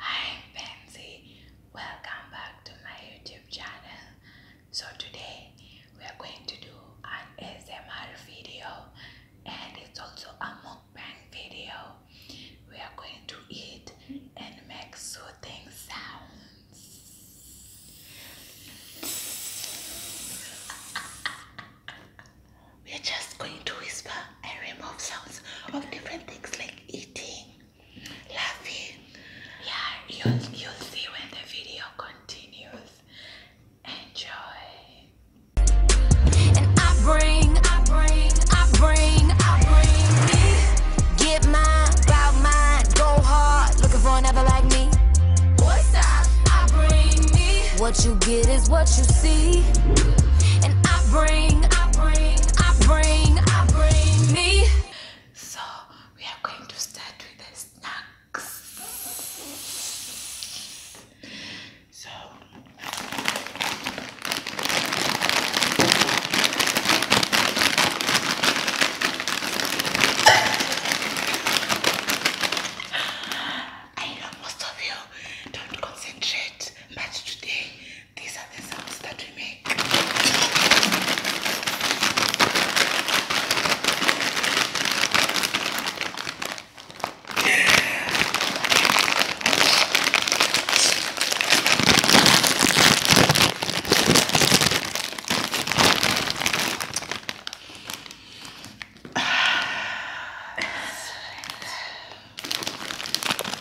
I'm Pansy. Welcome back to my YouTube channel. So today we are going to do an ASMR video and it's also a mukbang video. We are going to eat and make soothing sounds. We are just going to whisper and remove sounds of different things like eating laughing. you'll you'll see when the video continues. Enjoy. And I bring, I bring, I bring, I bring it. Get mine, bout mine, go hard, looking for another like me. What's up? I bring me. What you get is what you see. I bring, So we are going to start with the snacks. So I know most of you don't concentrate, but today these are the sounds that we make.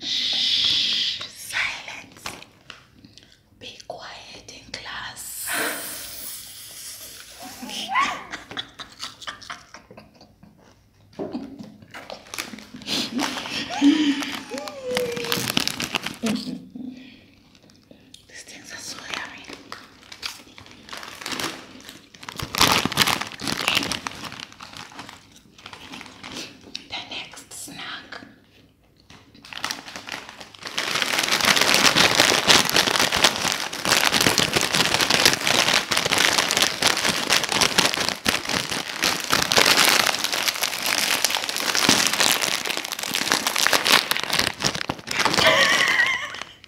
Shh, silence. Be quiet in class. These things are Okay. The next snack.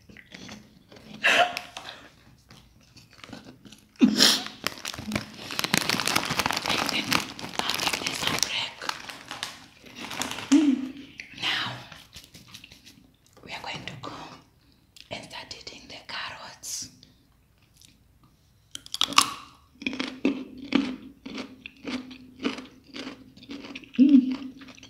Now we are going to go and start eating the carrots.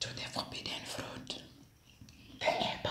to the forbidden fruit. The apple.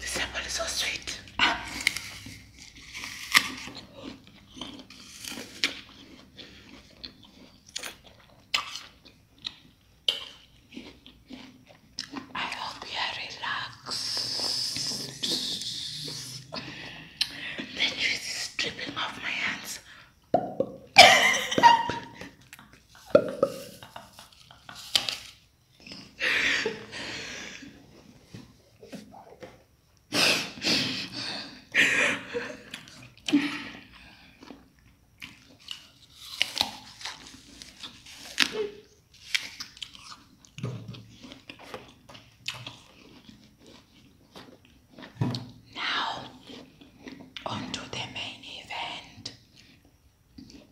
This apple is so sweet. I hope you are The juice is dripping off my hands. Now, on the main event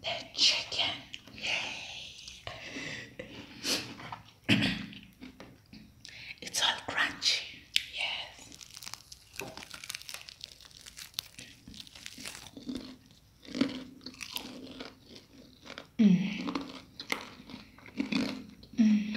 the chicken. Yay! it's all crunchy. Yes. Mm. Mm.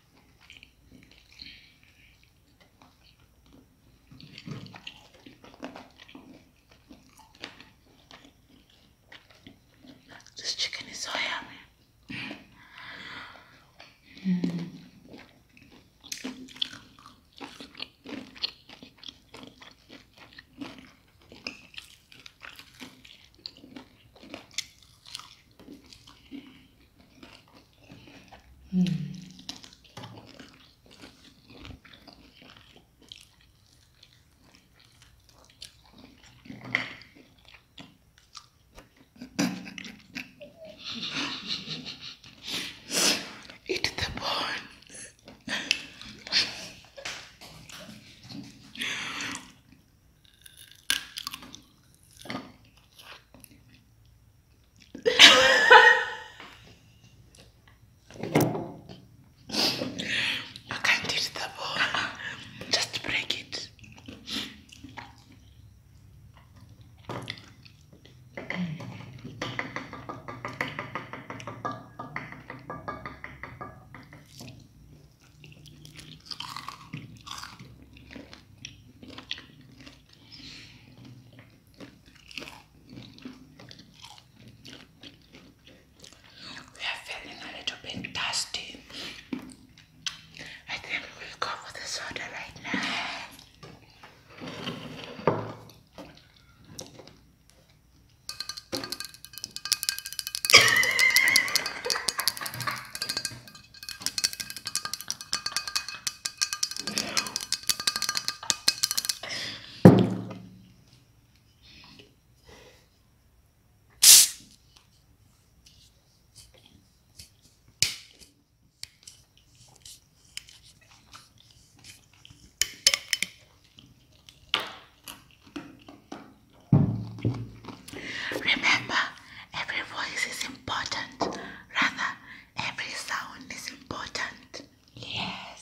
This chicken is so yummy. Mm. Eat the bone. I can't eat the ball. Just break it. We are feeling a little bit dusty. I think we'll go for the right now. Remember, every voice is important important. Rather, every sound is important. Yes.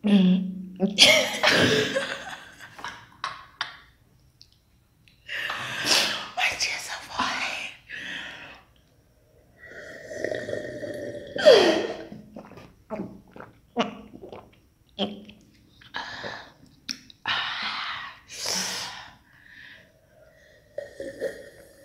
Which is a boy.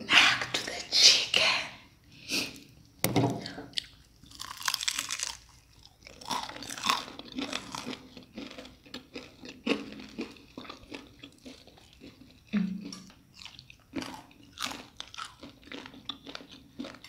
Back to the chicken.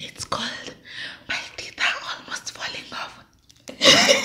It's cold. My teeth are almost falling off.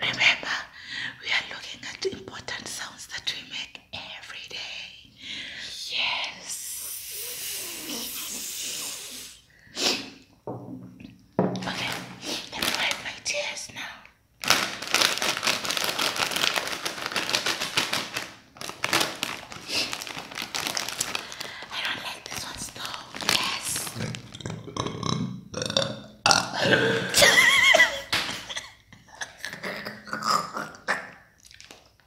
Remember, we are looking at important sounds that we make every day. Yes. Okay, let me wipe my tears now. I don't like this one though. Yes.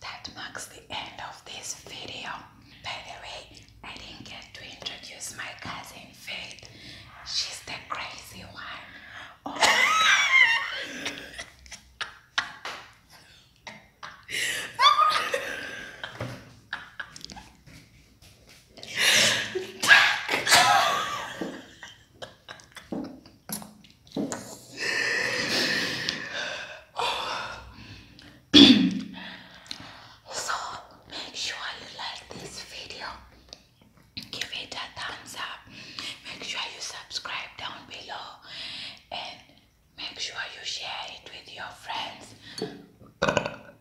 that marks the end of this video. By the way, I didn't get to introduce my cousin Faith. She's the crazy one. Oh so make sure you like this video give it a thumbs up make sure you subscribe down below and make sure you share it with your friends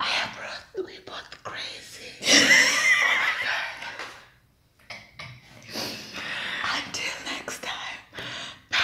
I have brought, we both crazy. Until next time. Bye.